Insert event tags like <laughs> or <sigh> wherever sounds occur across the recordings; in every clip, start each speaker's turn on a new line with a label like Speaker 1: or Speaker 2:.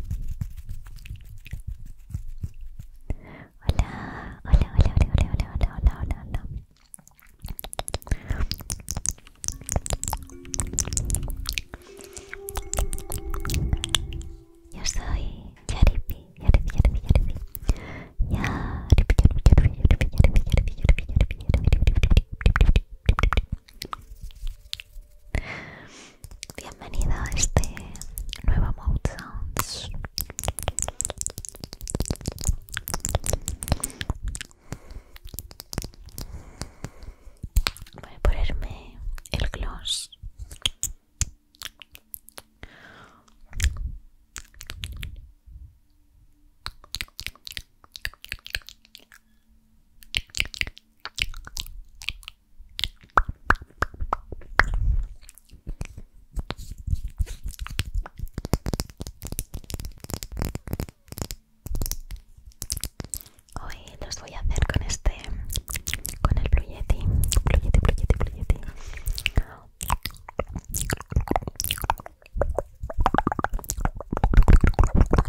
Speaker 1: Hola, hola, hola, hola, hola, hola, hola, hola, hola, Yo soy Yaripi, Yaripi, Yaripi, Yaripi. Yaripi, Bienvenida a este nuevo Mouth Sounds. Voy a ponerme el gloss. Hoy los voy a hacer con este, con el Blue Yeti, Blue Yeti,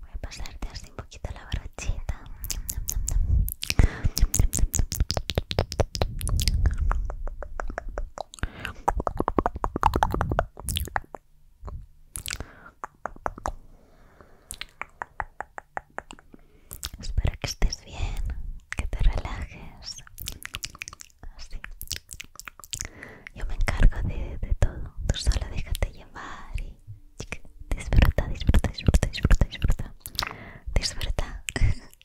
Speaker 1: Voy a pasarte así un poquito la brochita. Espero que estés bien, que te relajes. Así. Yo me encargo de, todo. Tú solo déjate llevar y disfruta, disfruta, disfruta, disfruta, disfruta. Disfruta. <laughs>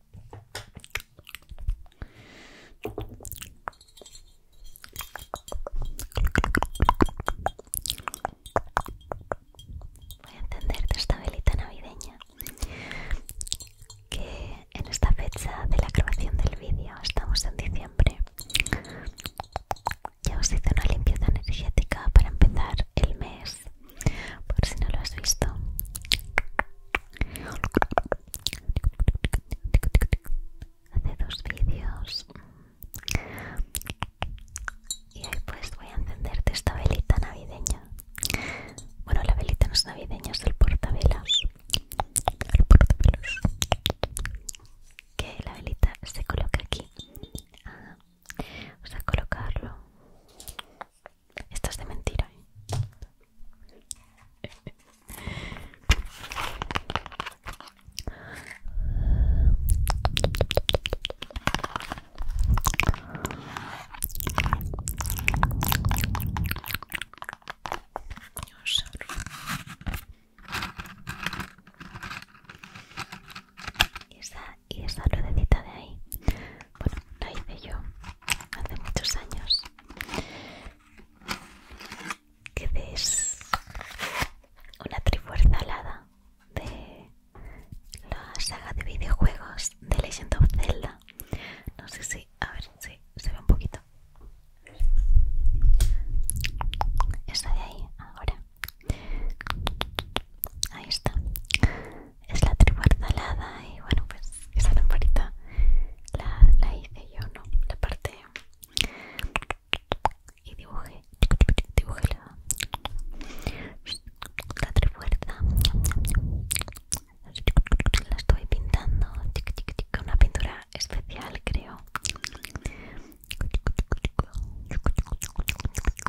Speaker 1: Voy a de esta velita navideña que en esta fecha de la grabación del vídeo estamos en diciembre. Ya os hice una limpieza energética para empezar el mes por si no lo has visto. Hace dos vídeos. Y ahí pues voy a encenderte esta velita navideña. Bueno, la velita no es navideña, es el portavelas. El Que la velita se coloca aquí. Ah, vamos a colocarlo esto es de mentira, ¿eh? y esa ruedecita de ahí bueno la hice yo hace muchos años que es una trifuerza alada de la saga de videojuegos de Legend of Zelda no sé si a ver si se ve un poquito esa de ahí ahora ahí está es la tribu alada y bueno pues esa lamparita la, hice yo no la parte y dibujé dibujé la, la trifuerza la estoy pintando una pintura especial creo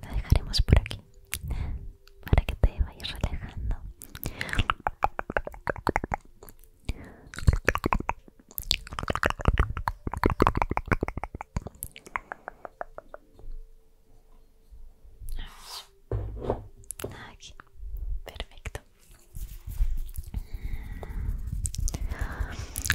Speaker 2: Lo dejaremos por aquí para que te vayas relajando. Aquí, perfecto.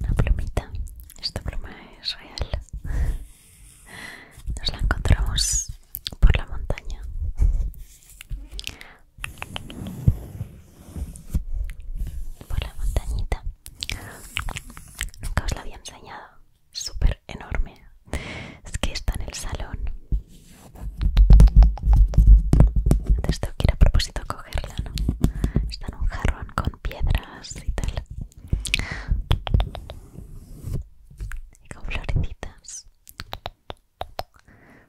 Speaker 1: La plumita, esta pluma es real. Nos la encontramos por la montaña por la montañita nunca os la había enseñado súper enorme es que está en el salón antes tengo que ir a propósito a cogerla ¿no? está en un jarrón con piedras y tal y con florecitas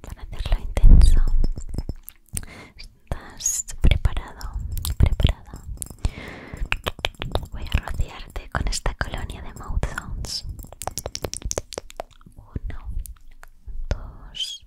Speaker 1: Para hacerlo intenso, estás preparado, preparada. Voy a rodearte con esta colonia de mouth sounds. Uno, dos,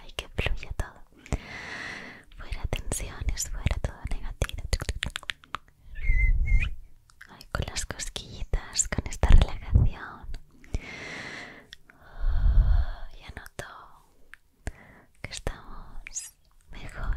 Speaker 1: Ay, que fluye todo. Fuera tensiones, fuera todo negativo. Ay, con las cosquillitas, con esta relajación. Ya noto que estamos mejor.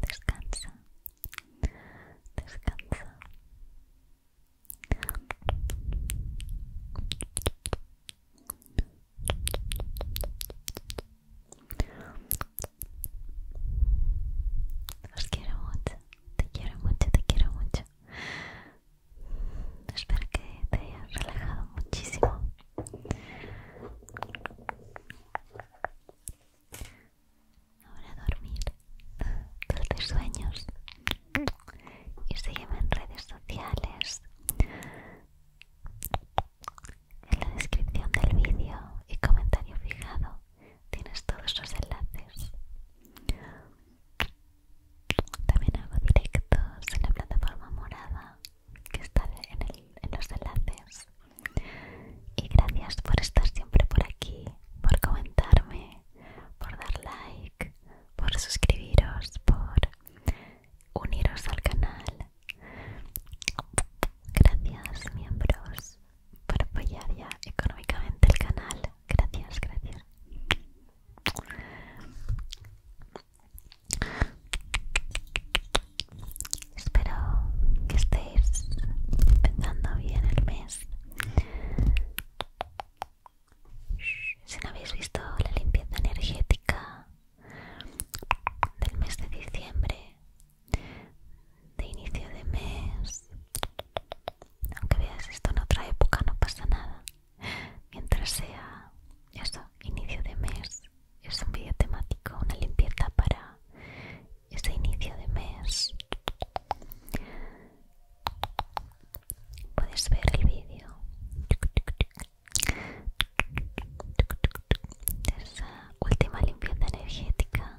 Speaker 1: Descansa, descansa. Te quiero mucho, te quiero mucho, te quiero mucho. Espero que te hayas relajado muchísimo. Ahora a dormir. Dulces sueños. Y sígueme en redes sociales. En la descripción del vídeo y comentario fijado tienes todos los enlaces. También hago directos en la plataforma morada que está en, los enlaces. Y gracias por estar siempre por aquí, por comentarme, por dar like, por suscribiros, por uniros al canal. Gracias miembros por apoyar ya económicamente el canal gracias, gracias. Espero que estéis empezando bien el mes. Si no habéis visto la limpieza energética del mes de diciembre, de inicio de mes, aunque veas esto en otra época no pasa nada mientras sea eso inicio de mes es un vídeo temático una limpieza para ese inicio de mes puedes ver el vídeo esa última limpieza energética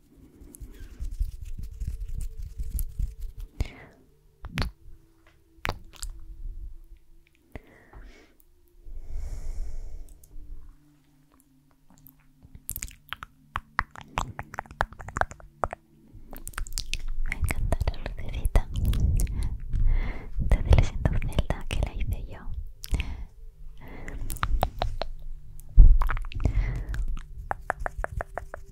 Speaker 1: Me encanta la lucecita desde siento celda que la hice yo.